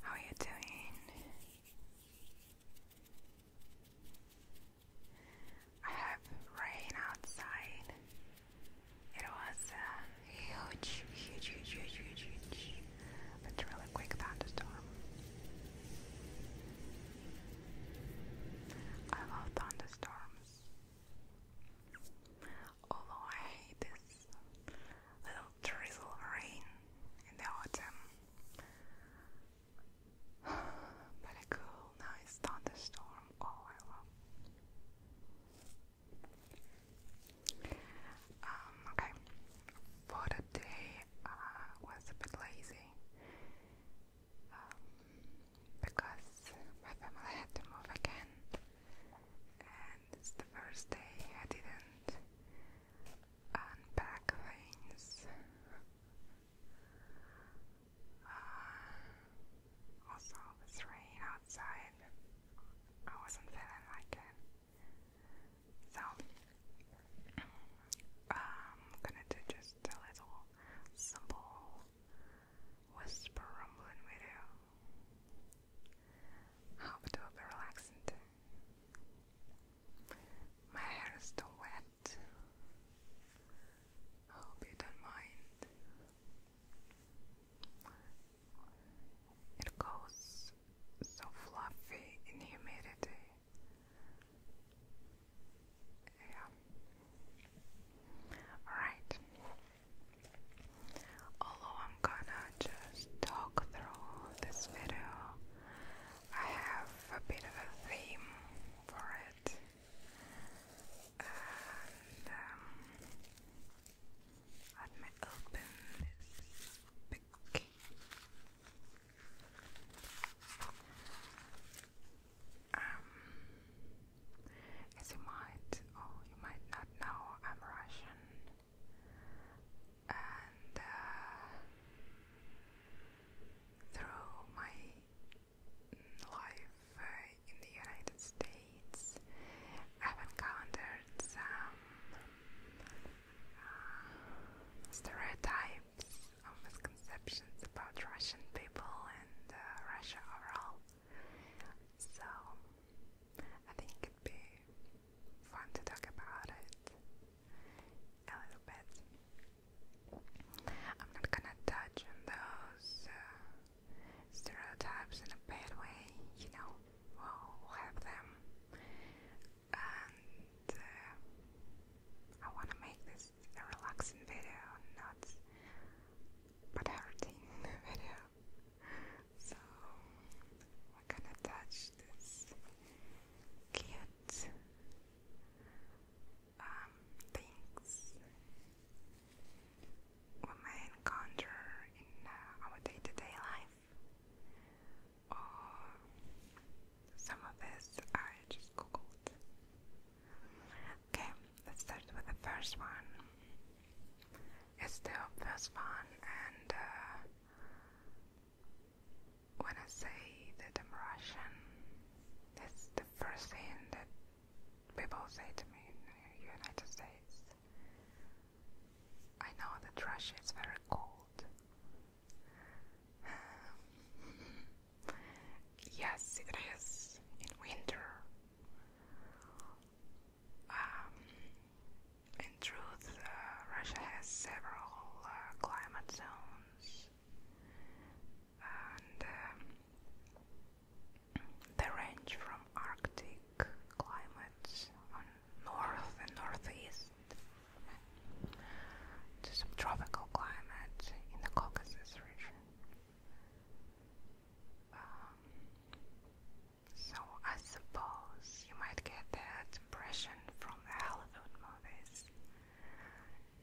How are you doing? I have rain outside. It was a uh, huge, huge, huge, huge, huge, huge, really quick thunderstorm. I love thunderstorms although I hate this little drizzle rain in the autumn. But a cool, nice thunderstorm, all I love. Um, okay, for today I uh, was a bit lazy um, because my family had to move again it's the first day I didn't unpack things. Uh, also, this rain outside, I wasn't feeling like it. So, I'm gonna do just a little simple whisper rumbling video. How to be relaxant. My hair is still wet. I hope you don't mind. It goes so fluffy in humidity. Yeah. Alright. Although I'm gonna just talk through this video, I have a bit of a theme for it. And um, let this book. As you might or oh, you might not know, I'm Russian, and uh, through my life uh, in the United States, I've encountered some uh, stereotypes or misconceptions about Russian people and Russia overall. So I think it'd be fun to talk about it a little bit. I'm not gonna touch on those uh, stereotypes in a bad way, you know, we'll, have them. And uh, I wanna make this a relaxing video, not but hurting video. So we're gonna touch this cute um, things we may encounter in uh, our day to -day life. Or some of this I just googled. Okay, let's start with the first one. It's the obvious one, and uh, when I say that I'm Russian, that's the first thing that people say to me in United States. I know that Russia is very cold. yes, it is in winter. Um, in truth, uh, Russia has several uh, climate zones, and um, they range from Arctic climates on north and northeast to subtropical climates in the Caucasus region. Um, so I suppose you might get that impression from the Hollywood movies.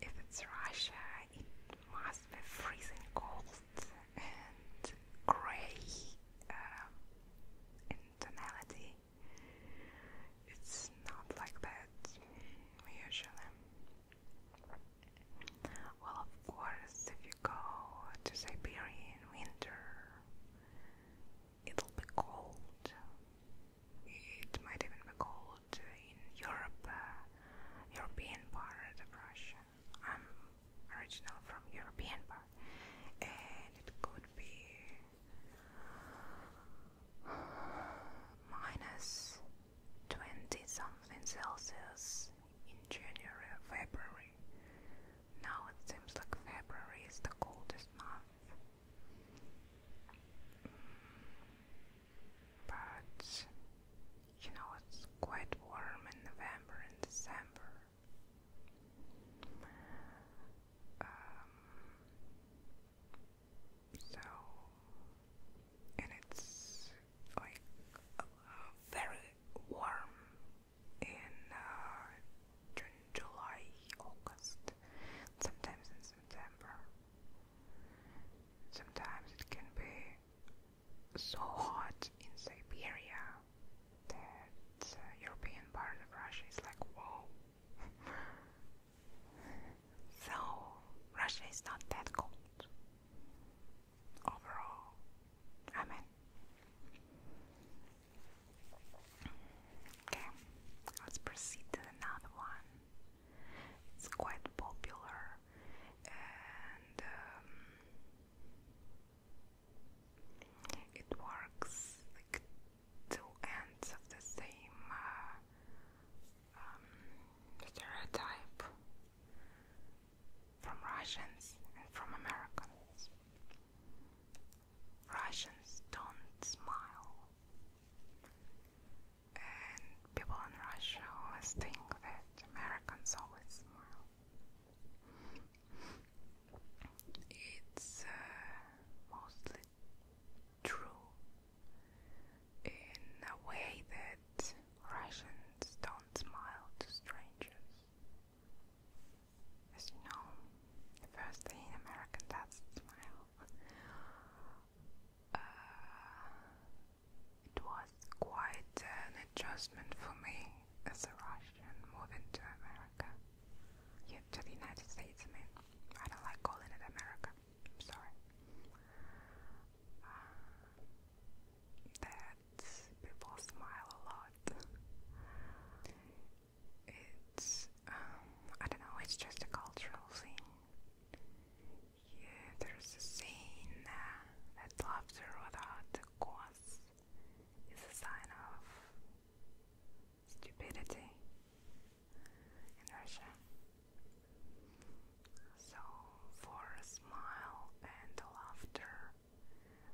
If it's Russia, it must be freezing cold and grey in uh, tonality. It's not like that usually. Well, of course, if you go to Siberia in winter, it'll be cold. It might even be cold in Europe, uh, European part of Russia. I'm original from European part, and it could be minus 20 something Celsius in January or February. Now it seems like February is the coldest month. Mm, but you know, it's quite warm in November and December. Um, so, and it's like very warm in uh, June, July, August, sometimes in September. Sometimes it can be so hot in Siberia that uh, European part of Russia is like whoa. so Russia is not that cold overall. Amen. Okay, let's proceed to another one. It's quite popular and um, it works like two ends of the same uh, um, stereotype from Russians and from Americans. Russians don't smile, and people in Russia always think that Americans always smile. It's uh, mostly true in a way that Russians don't smile to strangers. As you know, the first thing an American does smile. Uh, it was quite an adjustment for me as a Russian moving to America. Yeah, to the United States, I mean. I don't like calling it America. I'm sorry. Uh, people smile a lot. It's, um, I don't know, it's just a cultural thing. Yeah, there's a saying uh, that laughter without a cause is a sign of stupidity in Russia. So, for a smile and laughter,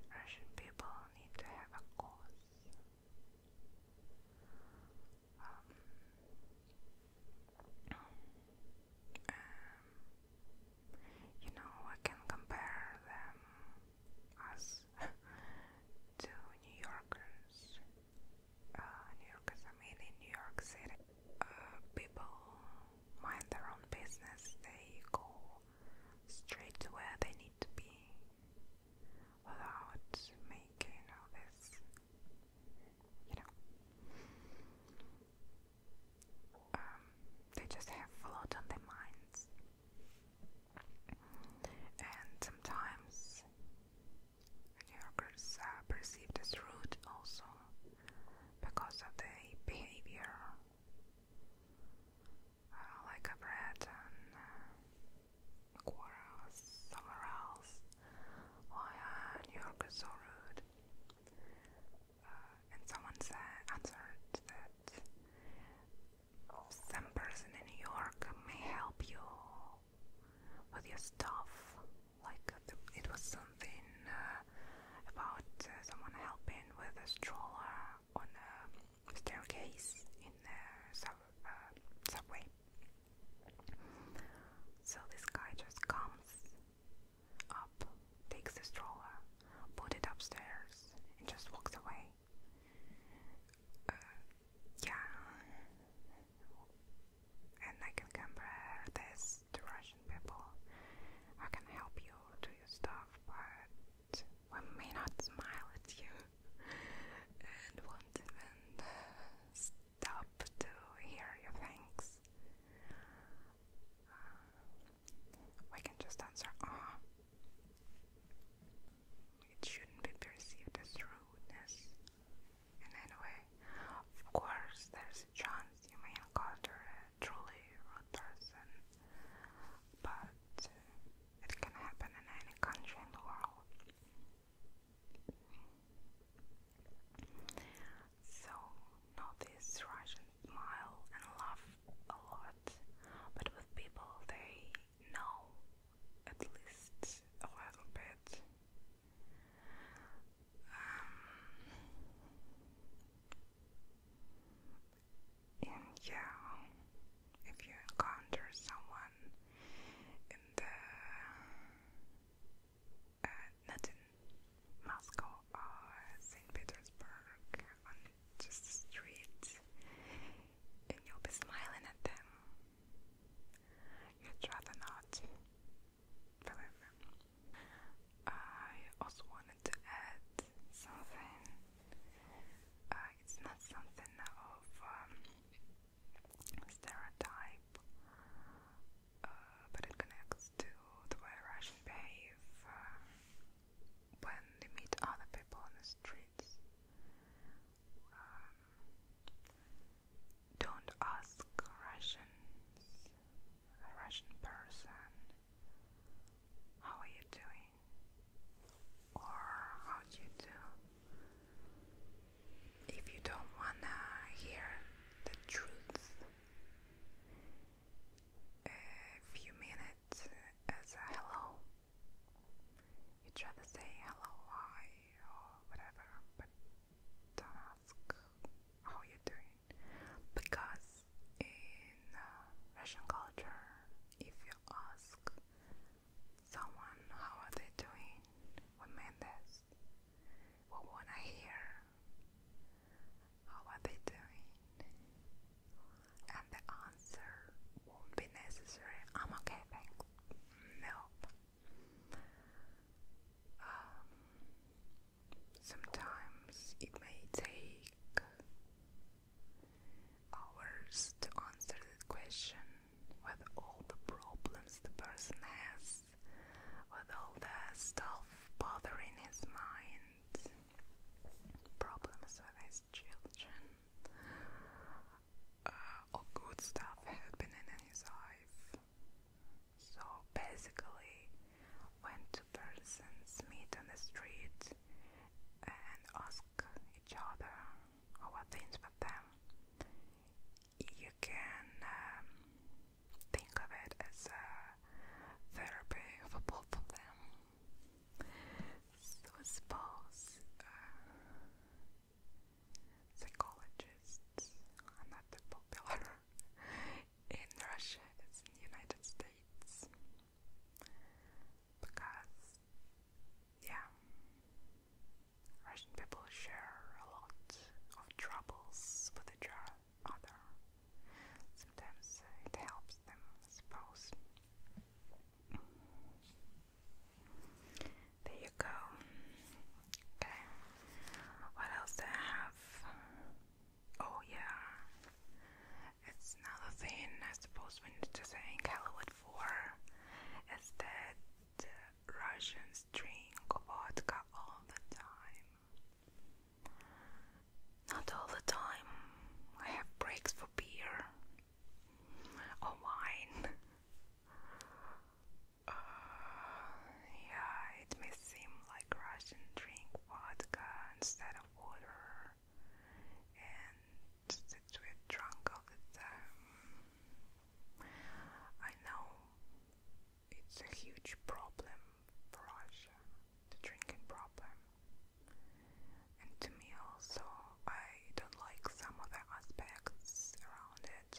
Russian people need to have a cause. Um, you know, I can compare them us to New Yorkers. Uh, New Yorkers, I mean, in New York City, uh, people mind their own business, they go straight to where they need to be without making all this, you know. Um, they just have a lot on their minds, and sometimes New Yorkers are uh, perceived as rude also because of their behavior. Uh, like I've read on uh, somewhere else, why are New Yorkers so rude? Uh, and someone said, answered that some person in New York may help you with your stuff. Like it was so something uh, about uh, someone helping with a stroller on the staircase in the uh, subway. So this guy just comes up, takes the stroller, puts it upstairs, and just walks away. yeah, and I can compare this to fashion people who can help you do your stuff, but we may not smile at you and won't even uh, stop to hear your thanks. Uh, we can just answer, ah. It shouldn't be perceived as rudeness in any way. Of course, there's is chance you may encounter a truly rude person, but uh, it can happen in any country in the world. So, notice Russian smile and laugh a lot, but with people they know at least a little bit. Um, and yeah, if you encounter someone in the uh, not in Moscow or Saint Petersburg on just the street, and you'll be smiling at them, you'd rather not. I also wanted to add something. Uh, it's not something of um, stereotype, uh, but it connects to the way Russians behave uh, when they meet other people on the streets. Um, don't ask Russians a Russian person, how are you doing? Or how do you do? If you don't wanna hear the truth, if you mean it as a hello, you try to say hello, why, or whatever, but don't ask how you're doing. Because in uh, Russian culture, if you ask someone how are they doing, what meant this? What wanna hear? How are they doing? And the answer won't be necessary. I'm okay, thanks. Nope. Um, Sometimes it may take hours to answer the question with all the problems the person has, with all the stuff bothering his mind, problems with his children, uh, good stuff happening in his life. So basically, when two persons meet on the street and ask each other what things about them, you can um, think of it as a therapy for both of them. So suppose uh, psychologists are not that popular in Russia it's in the United States because, yeah, Russian people share a lot of troubles with each other. Sometimes it helps them, I suppose. There you go. Okay. What else do I have? Oh yeah. It's another thing I suppose we need to thank Hollywood for is that Russians drink vodka all the time. Not all the time. I have breaks for beer or wine. Uh, yeah, it may seem like Russians drink vodka instead of water, and that we're drunk all the time. I know it's a huge problem for us the drinking problem. And to me, also, I don't like some other aspects around it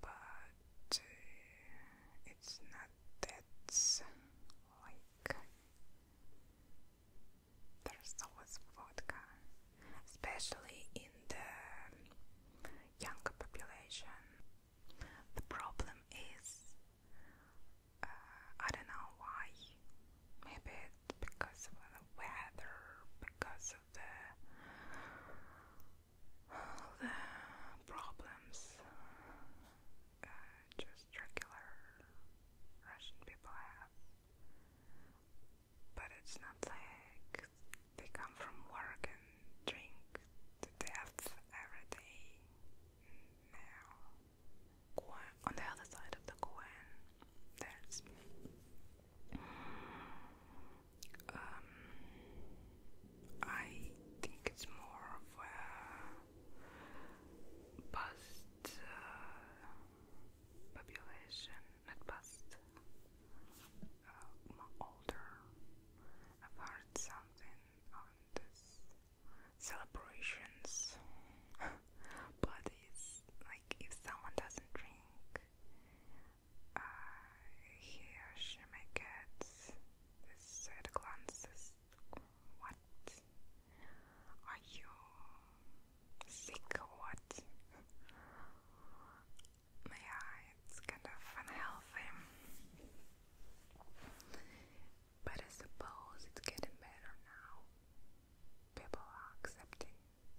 but uh, it's not that like there's always vodka, especially in the younger population. The problem is, uh, I don't know why. Maybe because of the weather, because of the the problems just regular Russian people have. But it's not like they come from work and drink to death every day. Now, on the other side of the coin, there's um, I think it's more of a past uh, population, not past, uh, older. I've heard something on this celebrations, but it's like if someone doesn't drink here she may get glances. What? Are you sick what? yeah, it's kind of unhealthy. But I suppose it's getting better now. People are accepting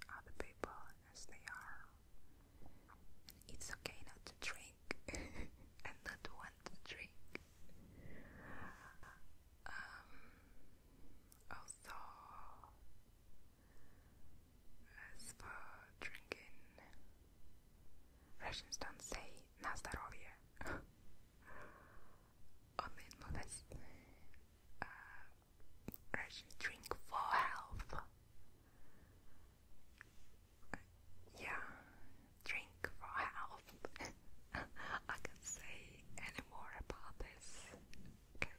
other people as they are. It's okay not to drink and not want to drink. Um, also, as for drinking, Russians don't say "na здоровье." Only in movies. Uh, drink for health yeah, drink for health. I can't say any more about this. Okay.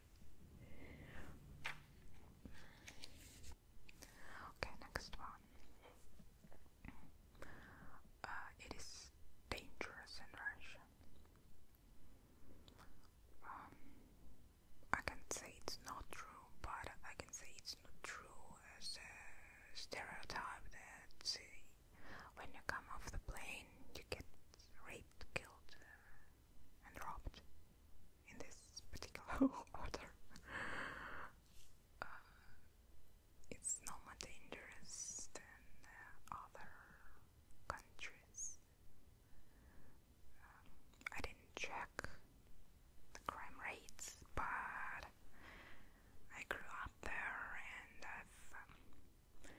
next one. Uh, it is dangerous in Russia. Um, I can say it's not true, but I can say it's not true as a stereotype that when you come off the plane, you get raped, killed, uh, and robbed in this particular order. Uh, it's no more dangerous than uh, other countries. I didn't check the crime rates, but I grew up there and I've um,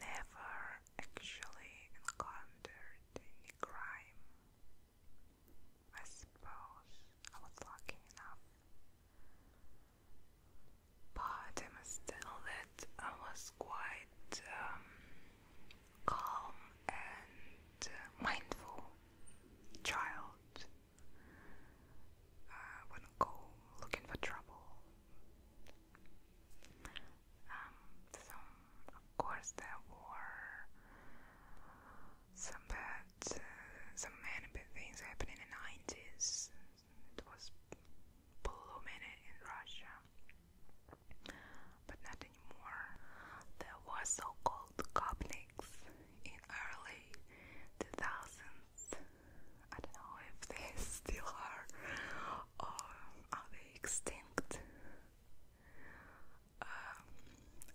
never actually encountered any crime. I suppose I was lucky enough. But I must tell that I was quite um, calm and uh, mindful child. Uh, wouldn't go looking for trouble. Um, so of course there were some bad, uh, some many bad things happened in the 90s. It was blooming in Russia but not anymore. There were so-called Gopniks in early 2000s. I don't know if they still are or are they extinct. Um,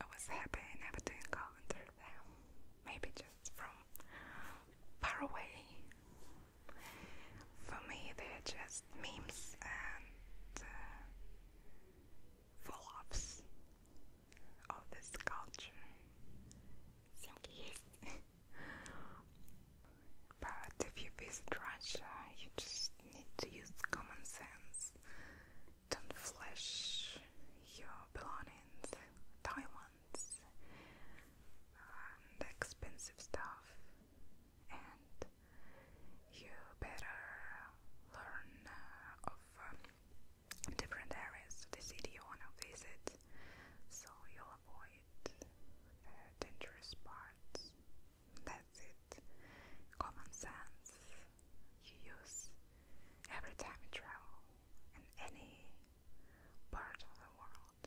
I was happy never to encounter them. Maybe just from far away. For me, they're just memes and uh, follow-ups of this culture. Think yes. but if you visit Russia, you just need to use common sense. Don't flash your belongings, diamonds, and um, expensive stuff and you better learn uh, of um, different areas of the city you want to visit so you'll avoid dangerous parts. That's it. Common sense you use every time you travel in any part of the world.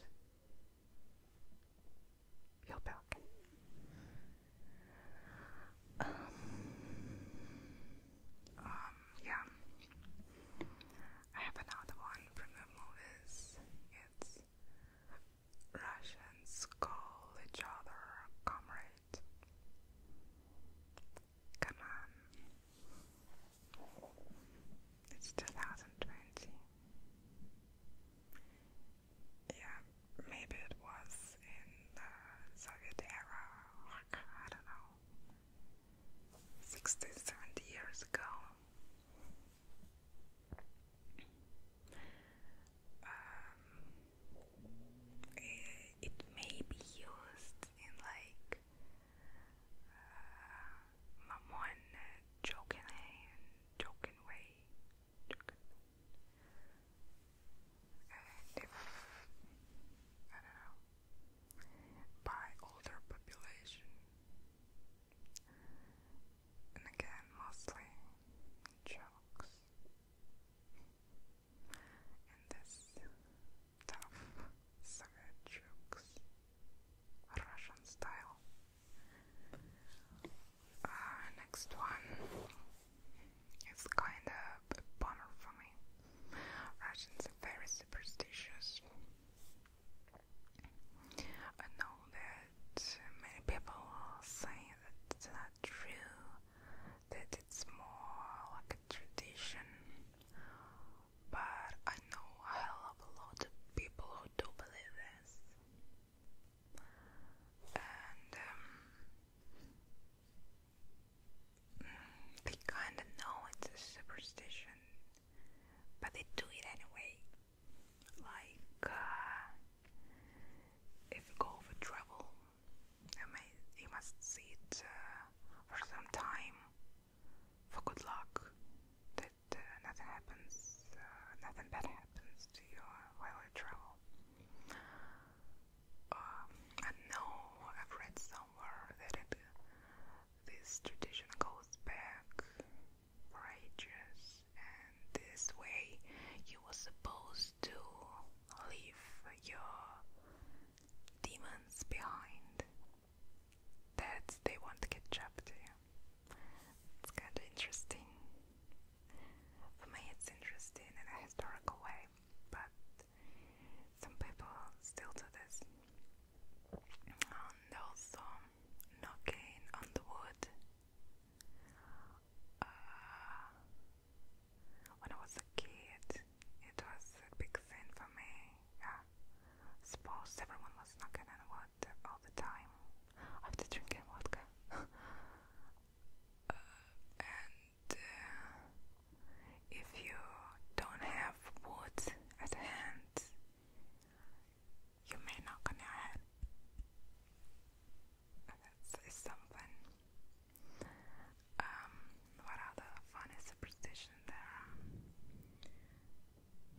You're back. Um, um, yeah. I have another one from the movies. It's Russians call each other comrade. Come on. It's 2020 yeah, maybe it was in the Soviet era, like, I don't know, 60, 70 years ago. Um, it may be used in like uh, one joking and joking way. And if, I don't know, by older population, and again, mostly jokes, and this tough Soviet jokes, Russian style uh, next one is kind of a bummer for me. Russians are very superstitious. I know that many people say that's not true, that it's more like a tradition, but I know I love a lot of people who do believe this and um, they kind of know it's a superstition, but they do it anyway. Like, uh, if you go for trouble, you, may, you must see uh, for some time for good luck that uh, nothing happens, nothing bad happens to you while you travel. Uh, I know I've read somewhere that this tradition goes back for ages, and this way you were supposed to leave your demons behind. That they want to catch up to you. It's kind of interesting. For me, it's interesting in a historical way, but some people still do this. And also, knocking on the wood. Uh, when I was a kid, it was a big thing for me. Yeah, I suppose everyone was knocking on wood all the time after drinking vodka. Uh, uh, if you don't have wood at hand, you may knock on your head. That's something. Um, what other funny superstition there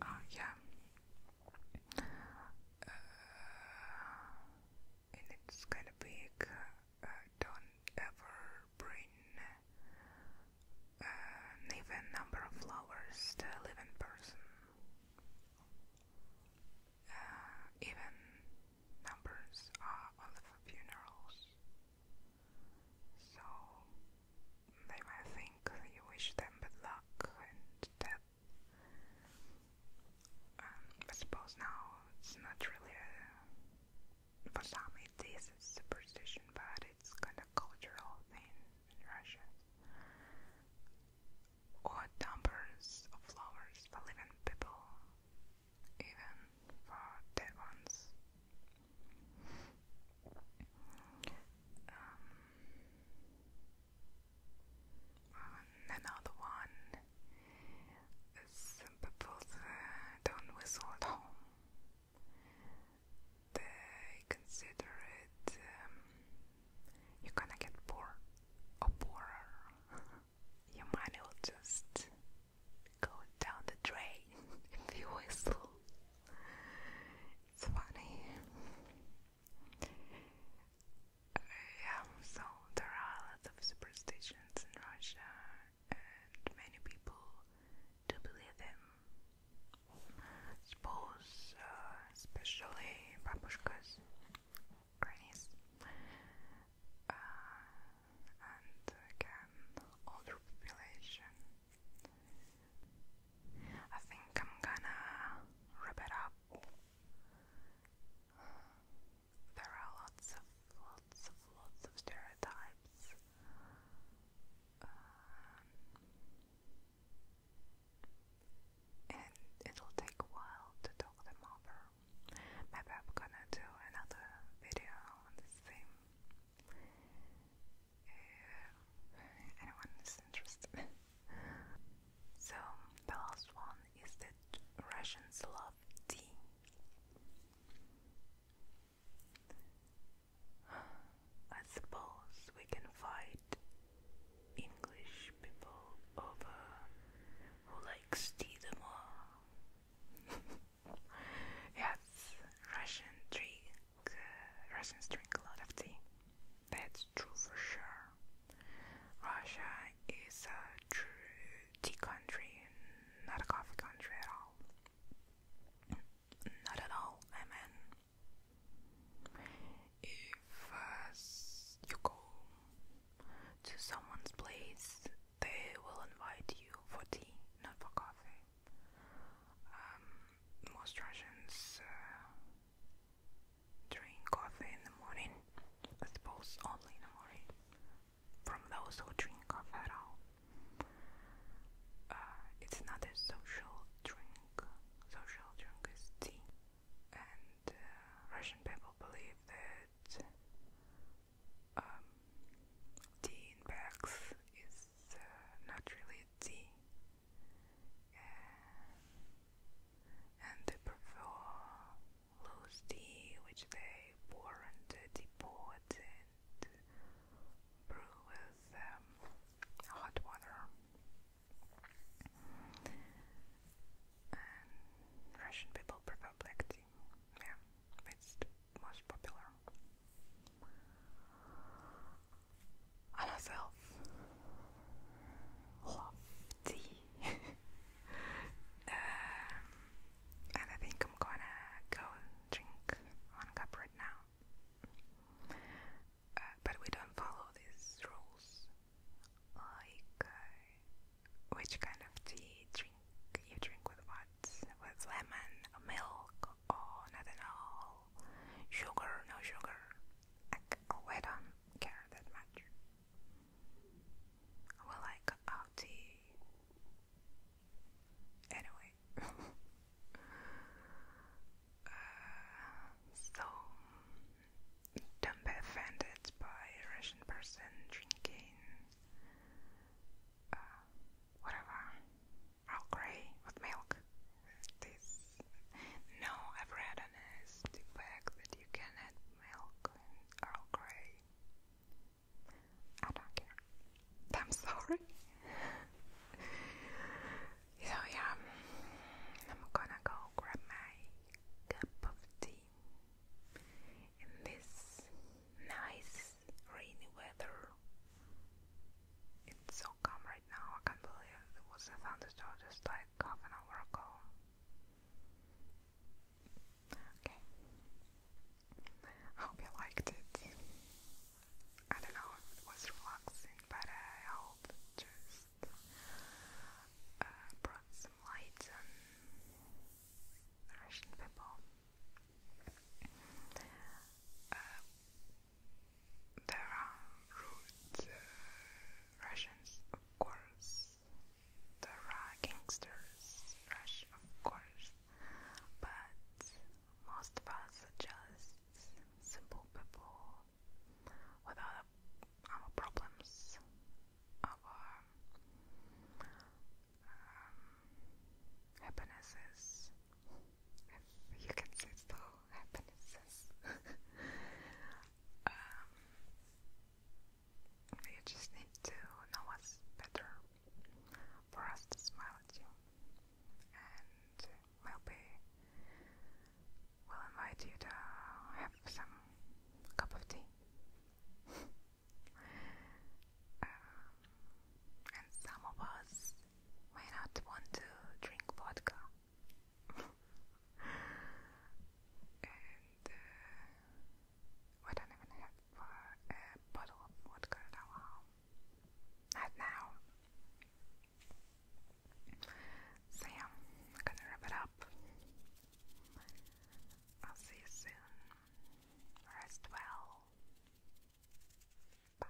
Oh yeah. Uh, and it's kind of big. don't ever bring uh, even number of flowers to a living person. Uh, even numbers are only for funerals, so they might think you wish them bad luck and um, I suppose now it's not really for some it is a superstition, but it's kind of cultural thing in Russia. Or numbers of flowers for living people, even for dead ones. Um, another one is people don't whistle at home. They consider it um, you're gonna get poor or poorer. Your money will just go down the drain if you whistle. It's funny yeah, so there are a lot of superstitions in Russia, and many people do believe them. suppose, uh, especially babushkas, grannies, uh, and again, older population. I think I'm gonna wrap it up there are lots of, lots of, lots of stereotypes. Um, and it'll take a while to talk them over. Maybe I'm gonna do another video on the same. If anyone's interested. So the last one is that Russians love tea. I suppose we can fight English people over who likes tea the more. yes, Russian drink, uh, Russians drink a lot of tea. That's true for sure. Russia is a true tea country, not a coffee country at all. Not at all, I mean. If uh, you go to someone's place, they will invite you for tea, not for coffee. Um, most Russians uh, drink coffee in the morning, I suppose only in the morning, from those who drink coffee at all. Uh, it's not a social drink, social drink is tea, and uh, Russian people believe that um, tea in bags is uh, not really tea and they prefer tea, which they pour into the pot and brew with um, hot water. Russian people prefer black tea. Yeah, it's the most popular. On herself, love. 50. Um, and I think I'm gonna go drink one cup right now. Uh, but we don't follow these rules. Like, uh, which kind of tea drink you drink with what? With lemon, milk, or not at all? Sugar, no sugar. Like, oh, don't care that much. Well, I got out the. Anyway. Uh, so, don't be offended by Russian person drinking. Uh, whatever. Earl Grey with milk. This no, I've read on a stick bag that you can milk Earl Grey. I don't care. I'm sorry. so yeah, I'm gonna go grab my cup of tea in this nice rainy weather. It's so calm right now. I can't believe it was a thunderstorm just like half an hour ago. Okay. I hope you liked it. I don't know it was relaxing, but I hope just uh, brought some light on Russian people. Uh, there are rude uh, Russians, of course. The raw gangsters rush, of course, but most of us are just simple people without our problems, our um, happinesses, you can say so, happinesses. Um, you just need to know what's better for us to smile at you, and we'll we'll invite you to have some cup of tea. Um, and some of us may not want to drink vodka and uh, don't even have uh, a bottle of vodka at home. Not now. So I'm gonna wrap it up. I'll see you soon. Rest well. Bye.